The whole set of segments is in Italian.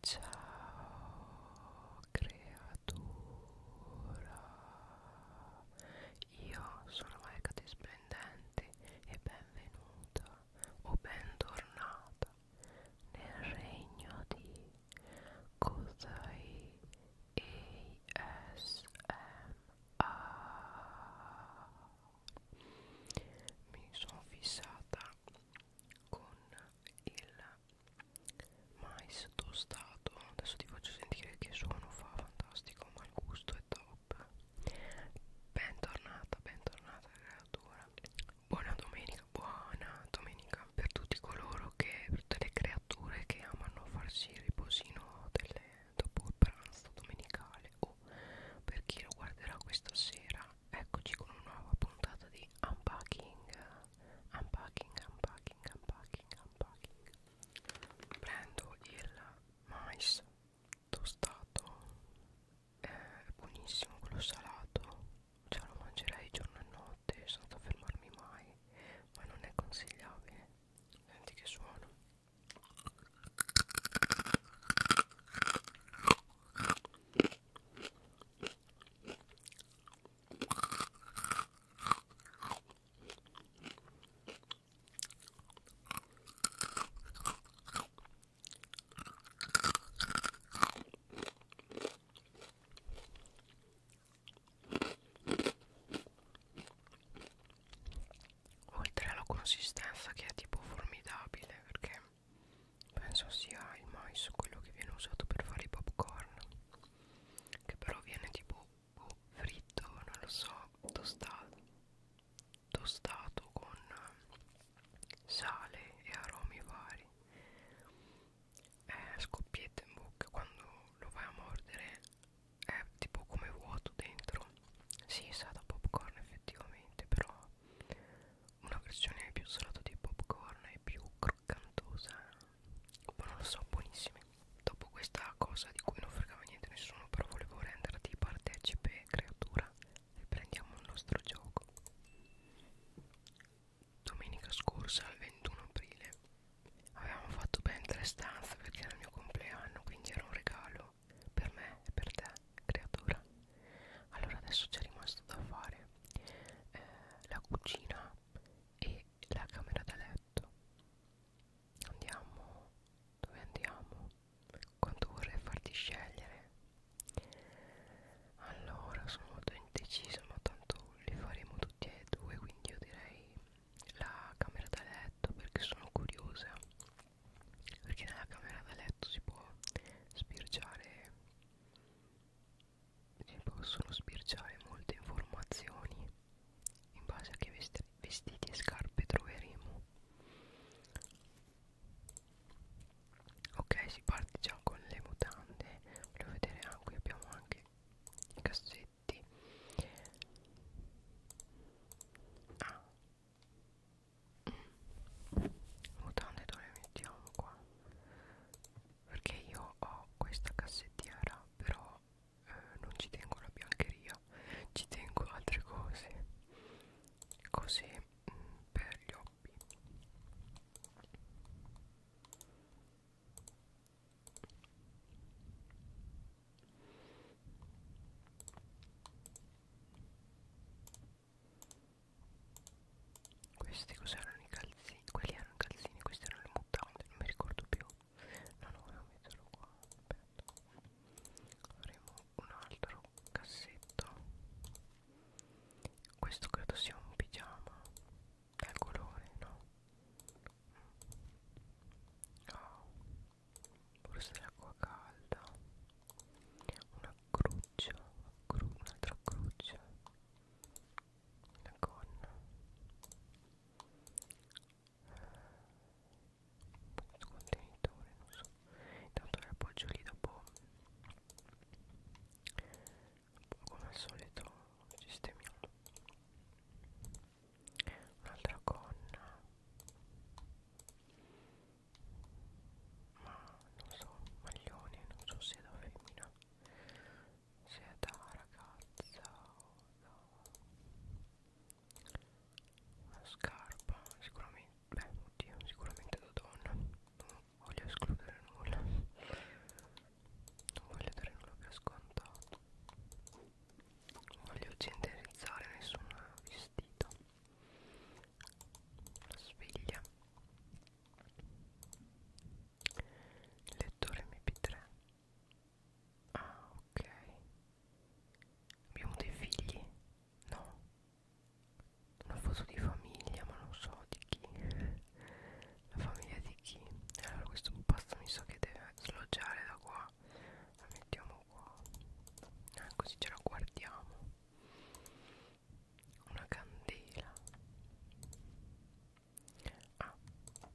Ciao creatura, io sono Maika Splendente e benvenuta o bentornata nel regno di Kozai ASMR. Mi sono fissata con il mais tostato adesso ti faccio sentire che suono fa fantastico ma il gusto è top bentornata bentornata creatura buona domenica buona domenica per tutti coloro che per tutte le creature che amano farsi il riposino delle, dopo il pranzo domenicale o per chi lo guarderà questa sera eccoci con una nuova puntata di unpacking unpacking unpacking unpacking unpacking prendo il mais tostato è buonissimo quello salato cioè lo mangerei giorno e notte senza fermarmi mai ma non è consigliabile senti che suono oltre alla consistenza che è tipo formidabile perché penso sia il mais quello che viene usato per fare i popcorn che però viene tipo boh, fritto non lo so tostato tostato con sale e aromi vari eh, scoppietta in bocca quando lo vai a mordere è tipo come vuoto dentro si sa da popcorn effettivamente però una versione più salata di popcorn e più croccantosa ma non lo so buonissime dopo questa cosa di cui non fregava niente nessuno però volevo renderti partecipe creatura riprendiamo il nostro gioco domenica scorsa il 21 aprile avevamo fatto ben tre stanze perché era il mio compleanno quindi era un regalo per me e per te creatura allora adesso c'è rimasto da fare eh, la cucina e la camera da letto andiamo dove andiamo quanto vorrei farti scegliere allora sono molto indecisa ma tanto li faremo tutti e due quindi io direi la camera da letto perché sono curiosa perché nella camera da letto si può spirgiare si possono sbirciare molte informazioni in base a che vestiti e scarpe troveremo ok si parte già con le mutande volevo vedere ah qui abbiamo anche i cassetti ah mm mutande dove le mettiamo qua perché io ho questa cassettiera però eh, non ci tengo la biancheria ci tengo altre cose così mh, mm, per gli hobby questi cos'erano i calzini? Quelli erano i calzini, questi erano le mutande, non mi ricordo più. No, no, ora metterlo qua, aspetta. Avremo un altro cassetto. Questo credo sia un pigiama. Dal colore, no? Oh, forse l'acqua calda. Una cruccia, cru un'altra cruccia la gonna questo contenitore non so intanto l'appoggio lì dopo come al solito sistemiamo un'altra gonna ma non so, maglione, non so se è da femmina, se è da ragazza o da una scarpa, sicuramente, beh oddio, sicuramente da donna, non voglio escludere nulla, non voglio dare nulla per scontato, non voglio generalizzare nessun vestito la sveglia lettore mp3 ah ok abbiamo dei figli no una foto di famiglia ma non so di chi la famiglia di chi allora questo pasta mi sa so che deve sloggiare da qua la mettiamo qua eh, così ce la guardiamo una candela ah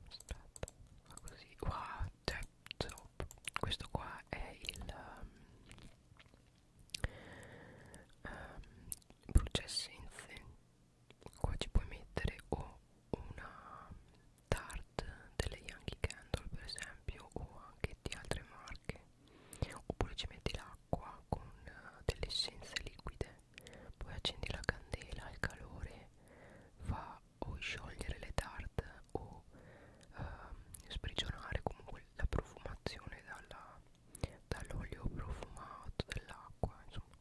aspetta fa così wow cioè, top. questo qua è il um, ehm, um, ehm, brucia essenze qua ci puoi mettere o una tart delle Yankee Candle per esempio o anche di altre marche oppure ci metti la acqua con eh, delle essenze liquide poi accendi la candela il calore fa o sciogliere le tarte o eh, sprigionare comunque la profumazione dall'olio dall profumato dell'acqua insomma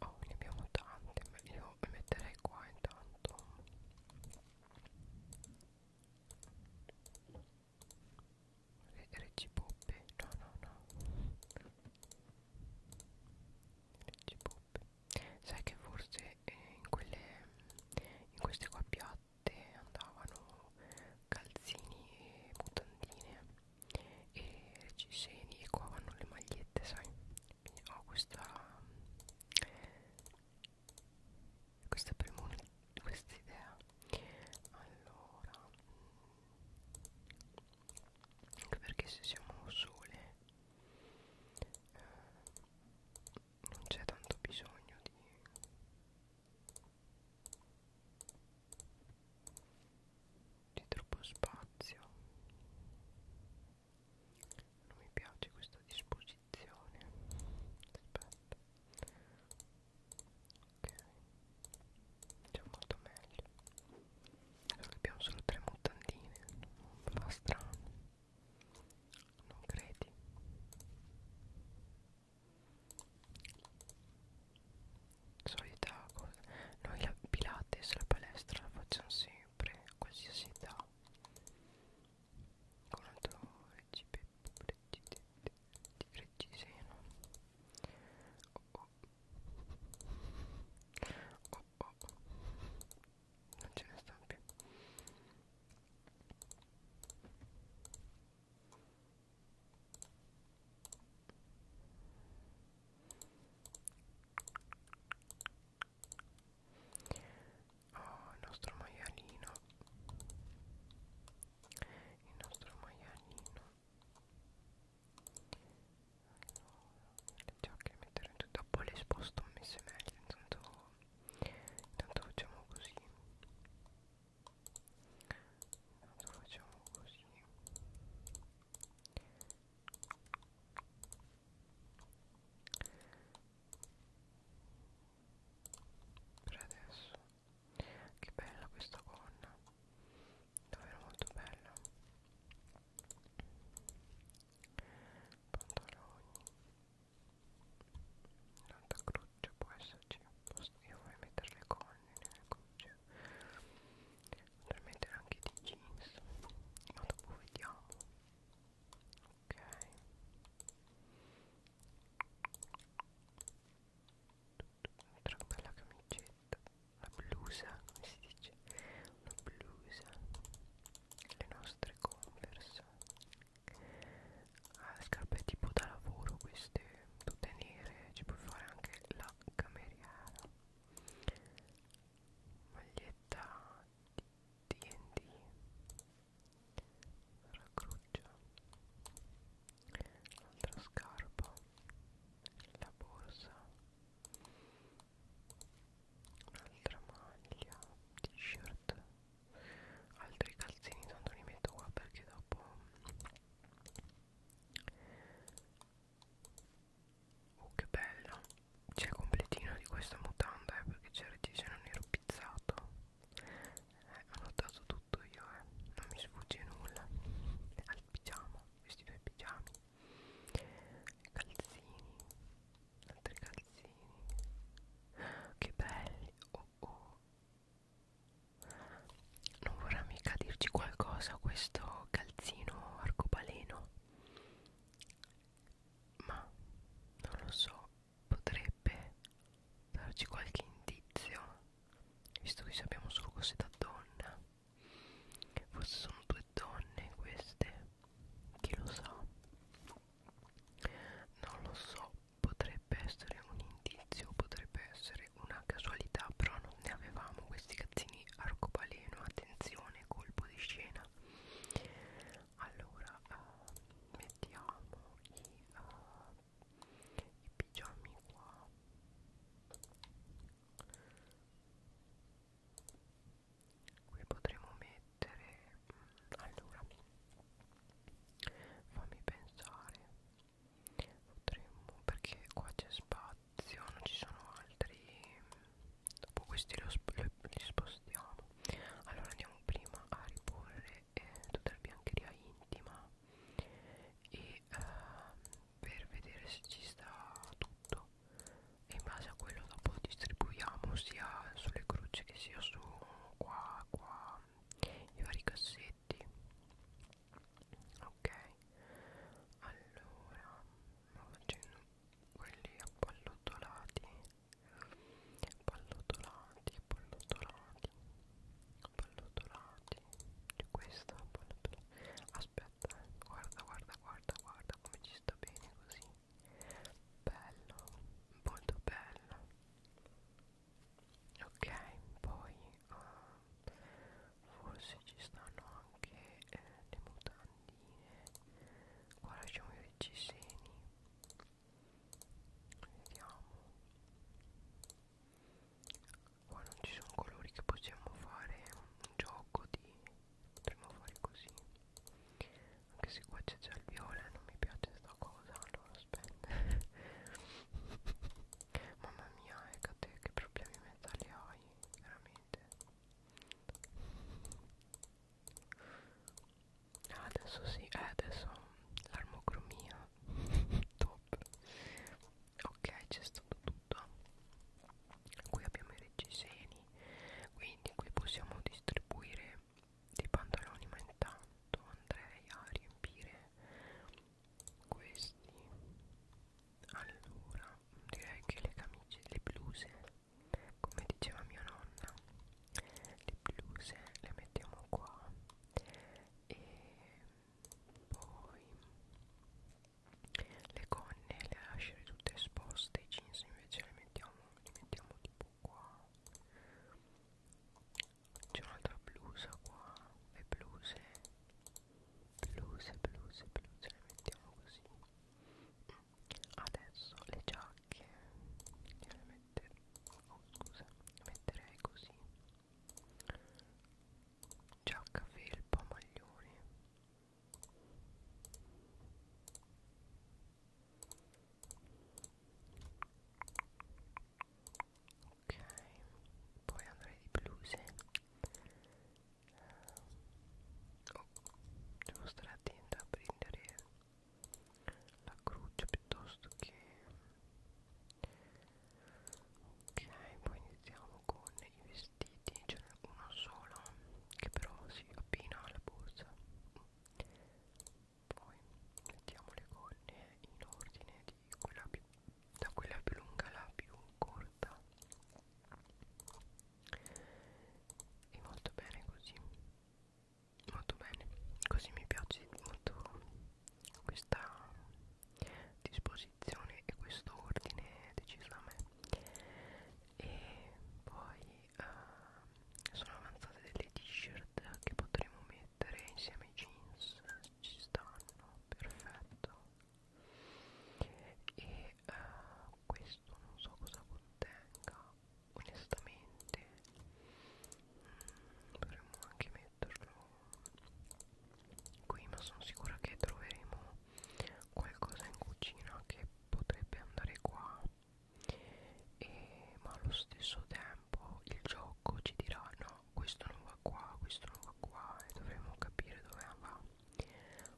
oh, ne abbiamo tante io le metterei qua intanto Re Reggipoppe No no no Reggipoppe Sai che forse eh, in quelle In queste qua piatte Andavano calzini e mutandine E reggiseni E qua vanno le magliette sai Quindi ho questa Questa premonizione quest'idea allora mm, anche perché se siamo sole eh, non c'è tanto bisogno di di troppo spazio non mi piace questa disposizione aspetta ok già molto meglio adesso abbiamo solo tre mutandine non fa strano non credi solita cosa noi la pilates la palestra la facciamo sempre a qualsiasi età con un altro recipe precedente di Greggiseno oh oh oh oh non ce ne sta più Oh, il nostro maialino il nostro maialino le giacche metterò in tutto dopo le sposto messe meglio intanto intanto facciamo così intanto facciamo così per adesso che bella questa gonna davvero molto bella pantaloni tanta croce può esserci io vorrei mettere le gonne nelle croce potrei mettere anche di jeans ma dopo vediamo ok un'altra bella camicetta una blusa come si dice una blusa le nostre converse ah, scarpe tipo da lavoro queste tutte nere ci puoi fare anche la cameriera maglietta di D&D racruccia l'altra scarpa la borsa un'altra maglia t-shirt altri calzini tanto li metto qua perché dopo oh che bella c'è completino di questa mutanda eh, perché c'era il disegno nero pizzato eh, ho notato tutto tutto io eh non mi sfugge nulla al pigiama questi due pigiami calzini altri calzini che belli oh oh non vorrà mica dirci qualcosa questo calzino arcobaleno ma non lo so potrebbe darci qualche indizio visto che sappiamo solo cose da donna forse sono due donne queste chi lo sa non lo so potrebbe essere un indizio potrebbe essere una casualità però non ne avevamo questi cazzini arcobaleno attenzione colpo di scena allora uh, mettiamo i uh, i pigiami qua qui potremo mettere mm, allora fammi pensare potremmo perché qua c'è spazio non ci sono altri dopo questi lo sp li spostiamo allora andiamo prima a riporre eh, tutta la biancheria intima e ehm, per vedere se ci sta tutto e in base a quello dopo distribuiamo sia sulle croce che sia su qua qua i vari cassetti ok allora facendo quelli appallottolati appallottolati appallottolati pallottolati questa pallottolata aspetta eh. guarda guarda guarda guarda come ci sta bene così bello molto bello ok poi uh, forse ci stanno anche eh, le mutandine qua lasciamo i reggiseni vediamo qua non ci sono colori che possiamo fare un gioco di potremmo fare così anche se qua c'è già il viola non mi piace sta cosa allora aspetta mamma mia Ecate ecco che problemi mentali hai veramente ah, adesso sì eh, adesso l'armocromia 2 pop ok c'è stato tutto qui abbiamo i reggiseni quindi qui possiamo distribuire dei pantaloni ma intanto andrei a riempire questi allora direi che le camicie le bluse come diceva mia nonna le bluse le mettiamo qua e poi le gonne le lasciare tutte esposte i jeans invece le mettiamo, li mettiamo tipo qua c'è un'altra blusa qua le bluse bluse bluse bluse le mettiamo così adesso le giacche le metterò oh scusa metterei così giacca felpa maglioni ok poi andrei di bluse eh, oh, devo stare attenta a prendere la croce piuttosto che ok poi iniziamo con i vestiti ce n'è uno solo che però si appina alla borsa poi mettiamo le gonne in ordine di quella più, da quella più lunga alla più corta e molto bene così molto bene così mi piace molto questa disposizione e questo ordine deciso da me e poi uh, sono avanzate delle t-shirt che potremo mettere insieme ai jeans ci stanno perfetto e uh, questo non so cosa contenga onestamente mm, potremmo anche metterlo qui ma sono sicura che troveremo qualcosa in cucina che potrebbe andare qua e, ma allo stesso tempo il gioco ci dirà no questo non va qua questo non va qua e dovremo capire dove va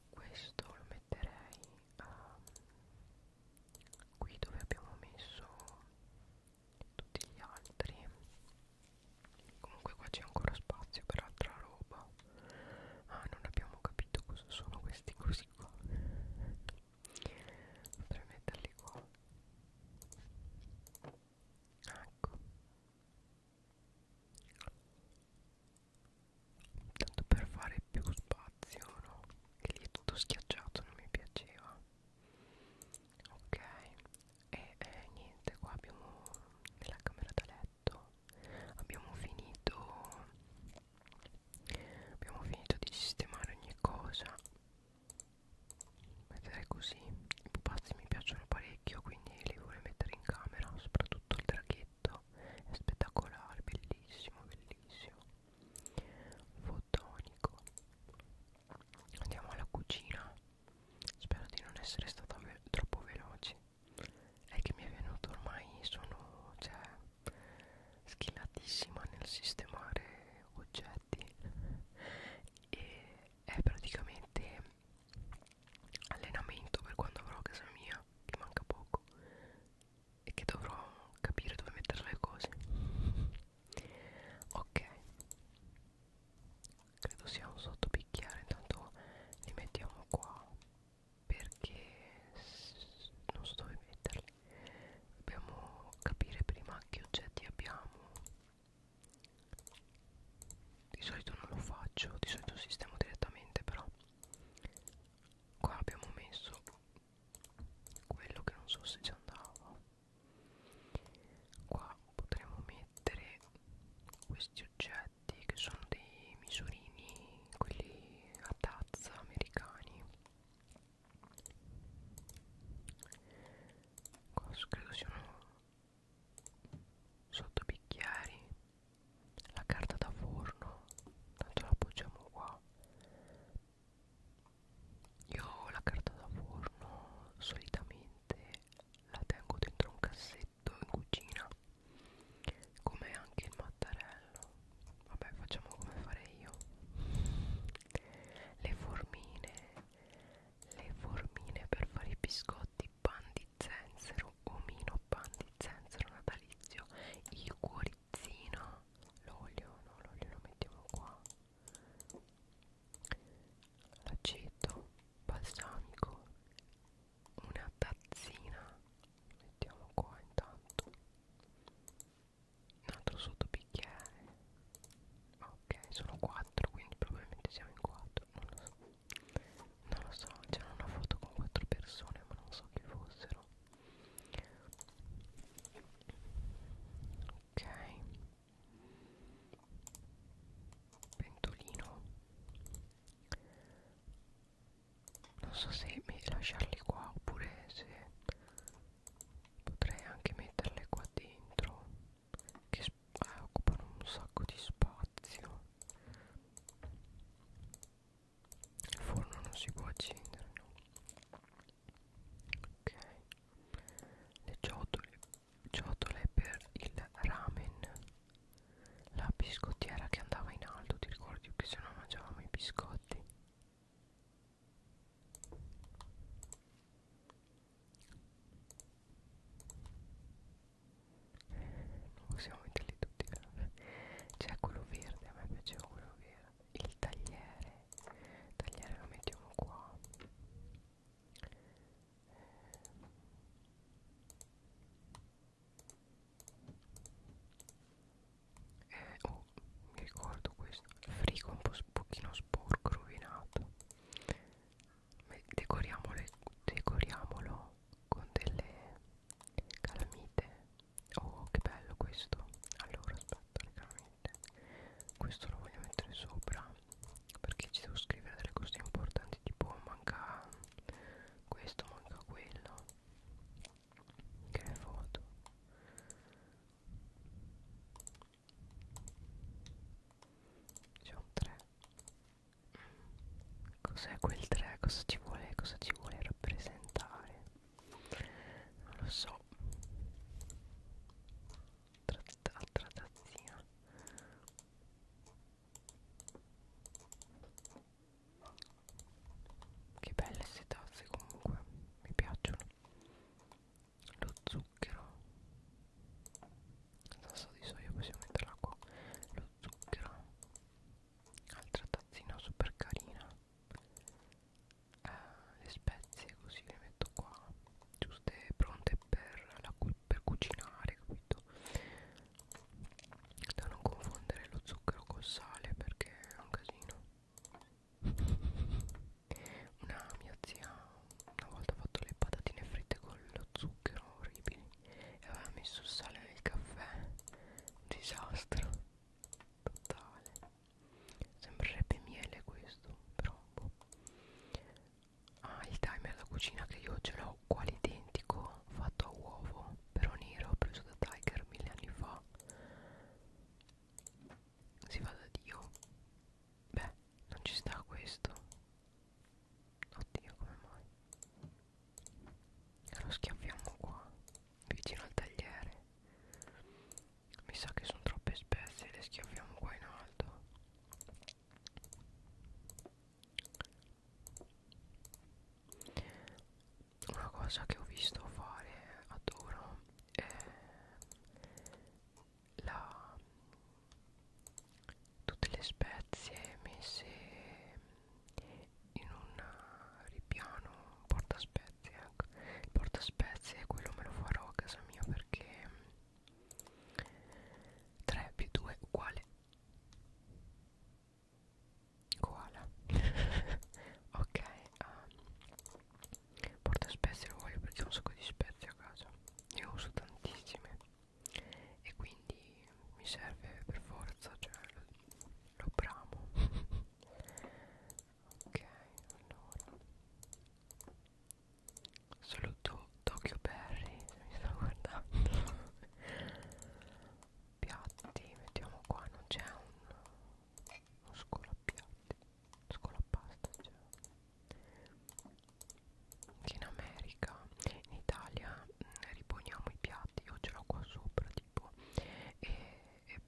questo lo metterei um, qui dove abbiamo messo tutti gli altri comunque qua c'è ancora spazio per altra roba ah non abbiamo capito cosa sono questi così qua potrei metterli qua ecco tanto per fare più spazio no? che lì è tutto schiacciato non mi piaceva ok e eh, niente qua abbiamo nella camera da letto abbiamo finito abbiamo finito di sistemare ogni cosa mettere così i pupazzi mi piacciono parecchio quindi li vorrei mettere in camera soprattutto il draghetto è spettacolare bellissimo bellissimo fotonico andiamo alla cucina Spero di non essere stata ve troppo veloce. È che mi è venuto ormai sono cioè schillatissima nel sistemare oggetti e è praticamente allenamento per quando avrò casa mia, che manca poco e che dovrò capire dove mettere le cose. Ok credo sia un sottobicchiere intanto li mettiamo qua perché non so dove metterli dobbiamo capire prima che oggetti abbiamo di solito non lo faccio di solito sistemo direttamente però qua abbiamo messo quello che non so se ci andava qua potremmo mettere questi oggetti che sono dei misurini quelli a tazza americani qua credo siano sotto bicchieri la carta da forno tanto la appoggiamo qua io la carta da forno solitamente la tengo dentro un cassetto in cucina come anche il mattarello vabbè facciamo come farei io le formine le formine per fare i biscotti pan di zenzero omino pan di zenzero natalizio il cuorizzino l'olio no l'olio lo mettiamo qua l'aceto balsamico una tazzina mettiamo qua intanto un altro sottobicchiere ok sono 4 quindi probabilmente siamo in 4 non lo so non lo so c'era una foto con 4 persone ma non so chi fossero ok pentolino non so se lasciarli qua oppure se potrei anche metterle qua dentro che eh, occupano un sacco di spazio il forno non si può accendere no? ok le ciotole ciotole per il ramen la biscottiera che andava in alto ti ricordi che se no mangiavamo i biscotti non possiamo metterli tutti c'è quello verde a me piaceva quello verde il tagliere il tagliere lo mettiamo qua eh, oh, mi ricordo questo il frigo un po pochino sporco rovinato decoriamolo con delle calamite oh che bello questo allora aspetta le calamite questo lo voglio mettere sopra perché ci devo scrivere delle cose importanti tipo manca questo manca quello che è foto c'è un 3 cos'è quel 3 cosa ci vuole cosa ci vuole rappresentare non lo so quest'altra tazzina che belle queste tazze comunque mi piacciono lo zucchero tasso di soia possiamo metterla qua lo zucchero altra tazzina super carina eh, le spezie così le metto qua giuste e pronte per, la cu per cucinare capito da non confondere lo zucchero col sale perché è un casino una mia zia una volta ha fatto le patatine fritte con lo zucchero orribili e aveva messo il sale nel caffè un disastro totale sembrerebbe miele questo però boh ah il timer da cucina che io ce l'ho quasi identico fatto a uovo però nero preso da Tiger mille anni fa si va da Dio beh non ci sta questo oddio come mai e lo schiaffiamo qua vicino al tagliere mi sa che sono troppe spezie le schiaffiamo qua in alto una cosa che ho visto fare adoro è la tutte le spezie messe in un ripiano un porta spezie ecco. il porta spezie quello me lo farò a casa mia perché 3 più 2 uguale koala ok um, porta spezie lo voglio perché ho un sacco di spezie a casa ne uso tantissime e quindi mi serve per forza cioè lo, lo bramo ok allora saluto Tokyo Berry mi sto guardando piatti mettiamo qua non c'è un uno scolapiatti scolapasta c'è che in America in Italia mm, riponiamo i piatti io ce l'ho qua sopra tipo e, e,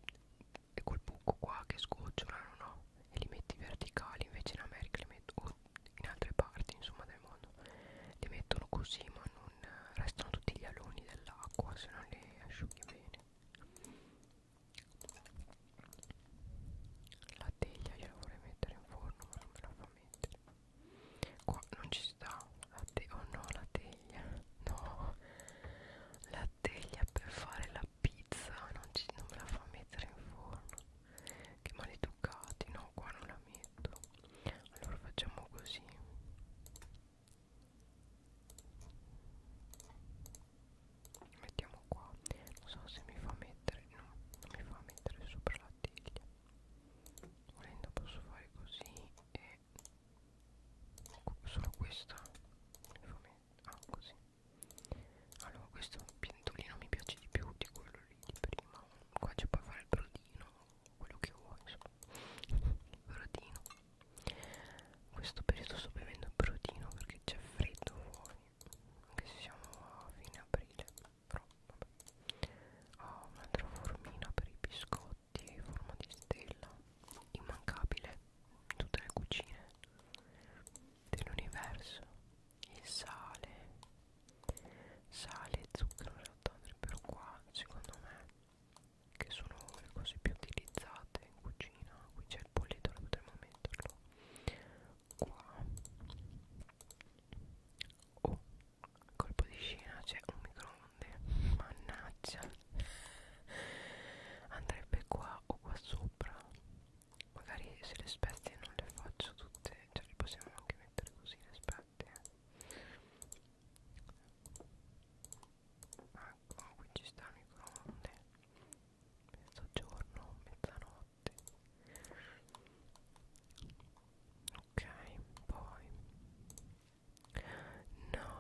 e col buco qua che sgocciola no? e li metti verticali invece in America li metto o Ecco, in altre parti insomma del mondo li mettono così ma non restano tutti gli aloni dell'acqua se non li asciughi bene la teglia gliela vorrei mettere in forno ma non me la fa mettere qua non ci sta la teglia oh no la teglia no la teglia per fare la pizza non, ci, non me la fa mettere in forno che maleducati, no, qua non la metto. Allora facciamo così. Mettiamo qua. Non so se mi fa mettere, no, non mi fa mettere sopra la teglia. Volendo posso fare così e solo questa. Mi fa mettere, ah, così. Allora questo pentolino mi piace di più di quello lì di prima qua ci puoi fare il brodino quello che vuoi insomma il brodino in questo periodo sto bevendo il brodino perché c'è freddo fuori anche se siamo a fine aprile però vabbè ho un'altra formina per i biscotti in forma di stella immancabile in tutte le cucine dell'universo il sale sale e zucchero in realtà andrebbero qua secondo me che sono le cose più utilizzate in cucina qui c'è il polletto lo potremmo metterlo qua oh colpo di scena c'è un microonde mannaggia andrebbe qua o qua sopra magari se le spezie non le faccio tutte cioè le possiamo anche mettere così le spezie ecco ah, qui ci sta il microonde mezzogiorno mezzanotte ok poi no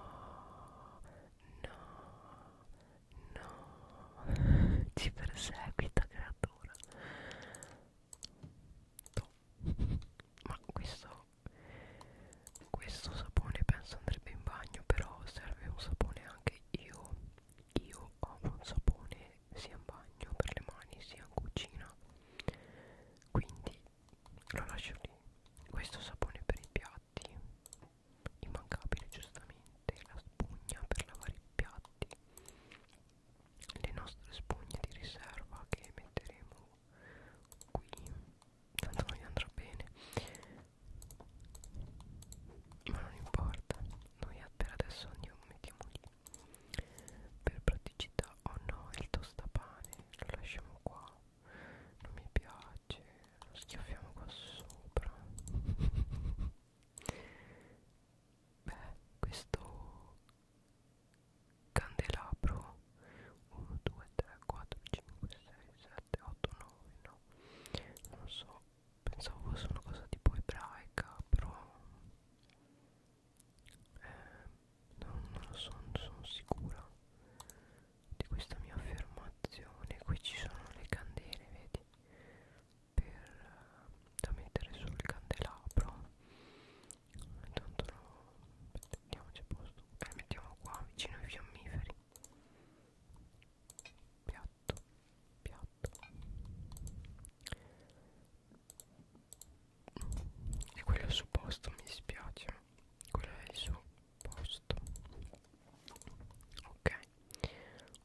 no no ci perseguita creatura ma questo questo sapone penso andrebbe in bagno però serve un sapone anche io io ho un sapone sia in bagno per le mani sia in cucina quindi lo lascio lì questo sapone per i piatti immancabile giustamente la spugna per lavare i piatti le nostre spugne di riserva che metteremo qui tanto non gli andrà bene ma non importa noi per adesso andiamo mettiamo lì per praticità oh no il tostapane lo lasciamo qua non mi piace lo schiaffiamo qua sopra beh, questo candelabro 1, 2, 3, 4, 5, 6, 7, 8, 9, no non so, pensavo fosse una cosa tipo ebraica però eh, non, non lo so, non sono sicura di questa mia affermazione qui ci sono le candele, vedi per, da mettere sul candelabro intanto no, mettiamoci a posto e eh, le mettiamo qua vicino ai fiammiferi piatto piatto e quello è il suo posto mi dispiace quello è il suo posto ok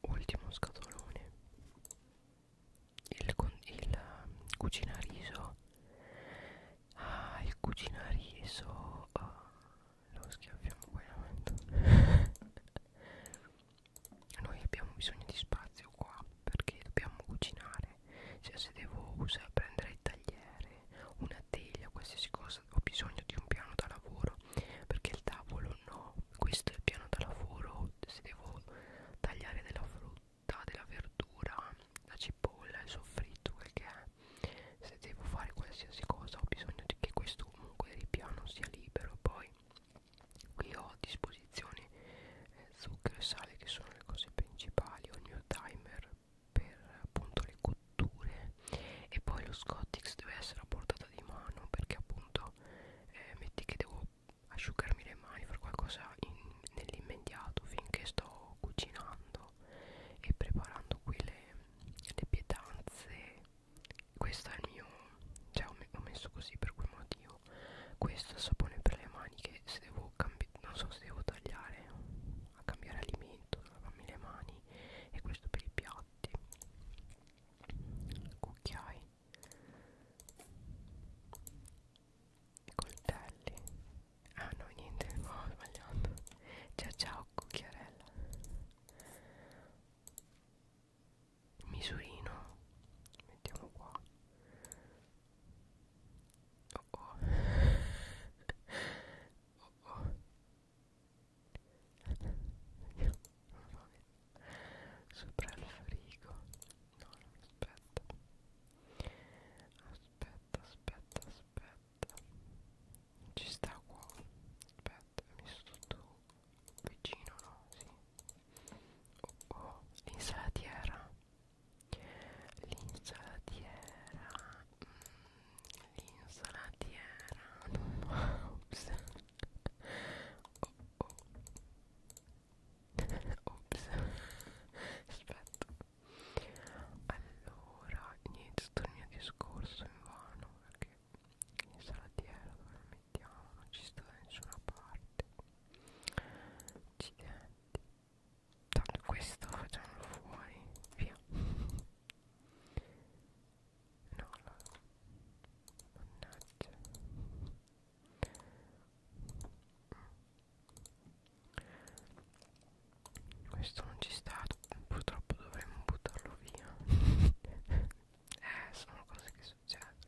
ultimo scatolone il, il eh, cucinariso ah il cucinariso ah, lo schiaffiamo poi la noi abbiamo bisogno di spazio qua perché dobbiamo cucinare cioè se devo usare, prendere il tagliere una teglia qualsiasi cosa ho bisogno di un piano da lavoro perché il tavolo no questo è il piano da lavoro se devo tagliare della frutta della verdura la cipolla il soffritto quel che è se devo fare qualsiasi cosa ho bisogno di che questo comunque ripiano sia libero poi qui ho a disposizione eh, zucchero e sale che sono le cose principali ho il mio timer per appunto le cotture e poi lo scottex deve essere a portata di mano perché appunto eh, metti che devo asciugarmi le mani, fare qualcosa nell'immediato finché sto cucinando e preparando qui le, le pietanze. Questo è il mio, cioè ho, me ho messo così per quel motivo. Questo sapone per le mani che se devo cambiare, non so se devo tagliare a cambiare alimento, lavarmi le mani e questo per i piatti cucchiai coltelli ah no niente no ho sbagliato ciao ciao cucchiarella misurino mettiamo qua oh oh oh oh non so sopra il frigo no non aspetta aspetta aspetta aspetta ci sta uovo aspetta mi sto tutto vicino no sì oh, oh. l'insalatiera l'insalatiera mm, l'insalatiera no, no. oh, oh. Ops, aspetta. Allora, niente, tutto il mio discorso in vano perché in salatiera dove lo mettiamo non ci sta da nessuna parte. Accidenti. Tanto questo facciamolo fuori, via. No, no, mannaggia questo non ci sta purtroppo dovremmo buttarlo via eh sono cose che succedono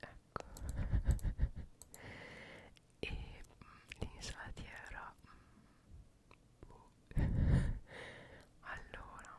ecco e mm, l'insalatiera mm, boh. allora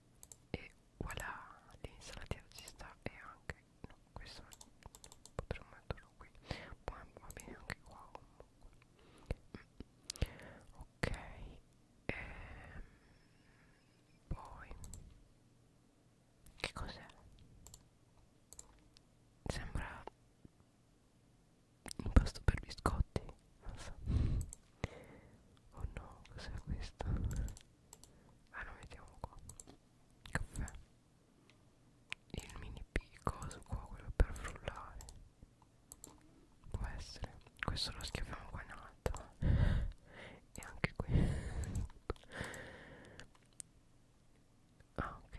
e voilà l'insalatiera ci sta e anche no questo potremmo metterlo qui poi va bene anche qua comunque ok ehm, poi che cos'è sembra impasto per biscotti non so oh no cos'è questo allora ah, vediamo qua caffè il mini coso qua quello per frullare può essere questo lo schiaffiamo qua in alto e anche qui ah ok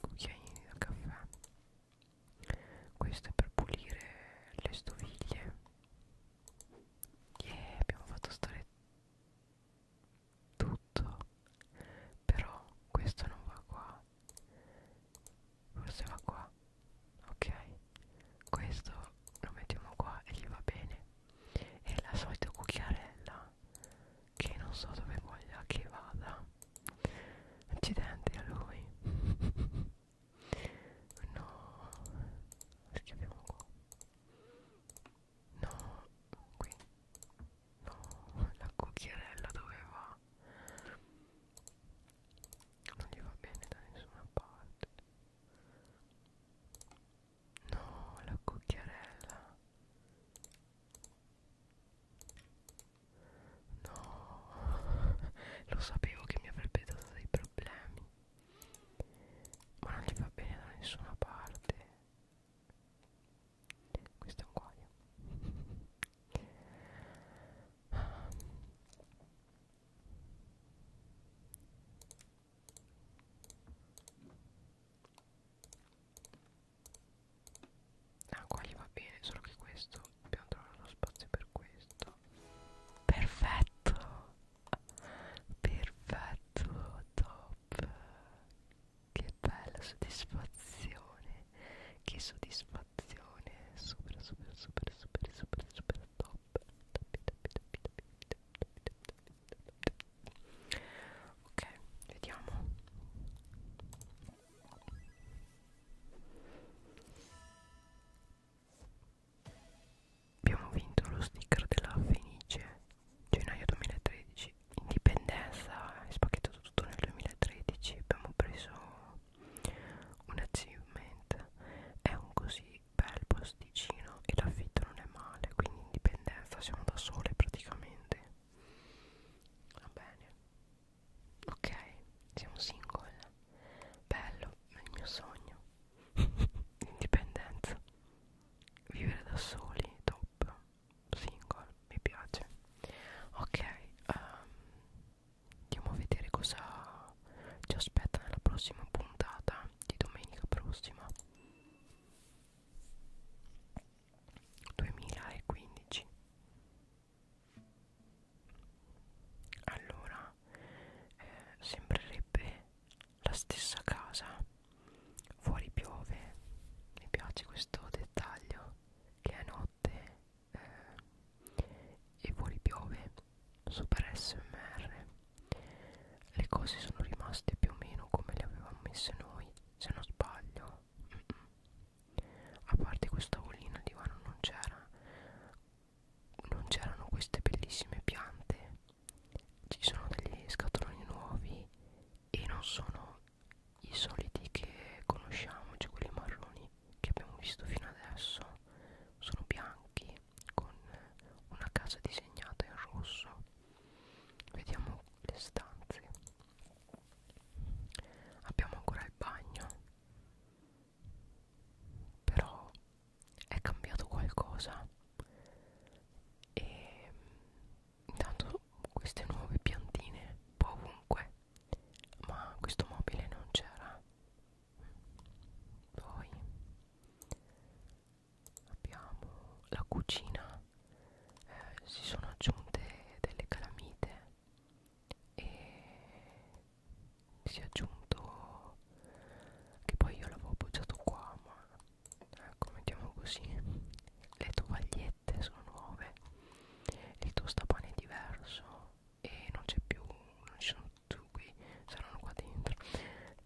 cucchiaini da caffè questo è per pulire le stoviglie yeah, abbiamo fatto stare tutto però questo non va qua forse va qua ok questo lo mettiamo qua e gli va bene e la solita cucchiarella che non so dove voglia che vada accidenti a lui no schiaviamo qua No, qui No, la cucchiarella dove va? Non gli va bene da nessuna parte No, la cucchiarella No, lo sapevo che mi avrebbe dato dei problemi ma non gli va bene da nessuna parte questo è un guaio Ah qua gli va bene, solo che questo dobbiamo trovare lo spazio per questo Perfetto perfetto top che bella soddisfazione che soddisfazione super super super super super super top ok vediamo abbiamo vinto lo sticker della Fenice gennaio 2013 indipendenza è spacchettato tutto nel 2013 abbiamo preso un achievement è un così bel posticino e l'affitto non è male quindi indipendenza siamo da sole praticamente va bene ok siamo single bello il mio sogno indipendenza vivere da soli top single mi piace ok um, andiamo a vedere cosa ci aspetta nella prossima puntata di domenica prossima 2015 allora casa eh, sembrerebbe la stessa casa fuori piove mi piace questo dettaglio che è notte eh, e fuori piove super smr le cose sono rimaste più o meno come le avevamo messe noi se non sbaglio mm -mm. a parte questa tavolino il divano non c'era non c'erano queste bellissime piante ci sono degli scatoloni nuovi e non sono i soliti che conosciamo, cioè quelli marroni che abbiamo visto fino adesso sono bianchi con una casa disegnata in rosso vediamo le stanze abbiamo ancora il bagno però è cambiato qualcosa e intanto queste nuove piantine un po' ovunque ma questo mobile non c'era poi abbiamo la cucina eh, si sono aggiunte delle calamite e si è aggiunto che poi io l'avevo appoggiato qua ma ecco mettiamo così le tovagliette sono nuove il tostapane è diverso e non c'è più non ci sono tutti qui saranno qua dentro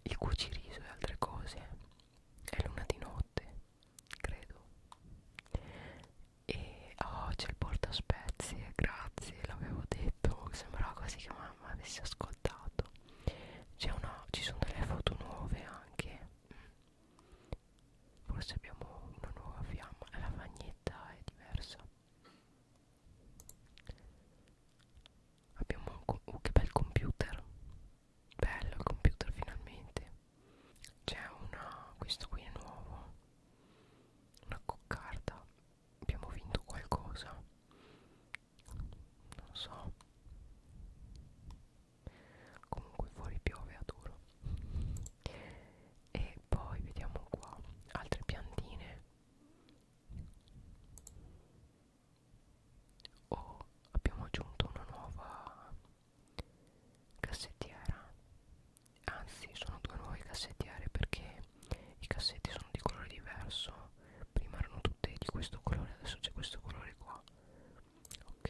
il cuciriso e altre cose è luna di notte credo e oh c'è il portaspezie grazie l'avevo detto sembrava quasi che mamma avesse ascoltato una, ci sono delle foto nuove anche mm. forse abbiamo una nuova fiamma la vagnetta è diversa abbiamo un oh, che bel computer bello il computer finalmente c'è una questo qui è nuovo una coccarda abbiamo vinto qualcosa non so comunque fuori piove a duro e poi vediamo qua altre piantine oh abbiamo aggiunto una nuova cassettiera anzi sono due nuove cassettiere perché i cassetti sono di colore diverso prima erano tutte di questo colore adesso c'è questo colore qua ok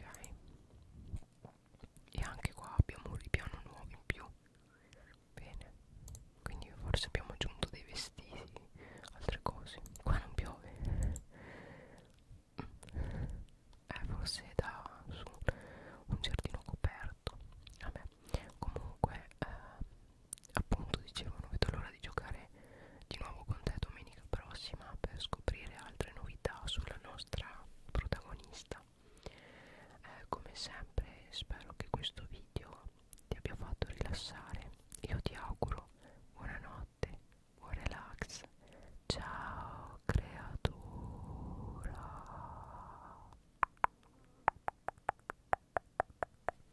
e anche qua abbiamo un ripiano nuovo in più bene quindi forse abbiamo aggiunto dei vestiti altre cose qua non piove eh forse da su un giardino coperto vabbè comunque eh, appunto dicevo non vedo l'ora di giocare di nuovo con te domenica prossima per scoprire altre novità sulla nostra protagonista eh, come sempre spero che questo video ti abbia fatto rilassare io ti auguro buonanotte buon relax ciao creatura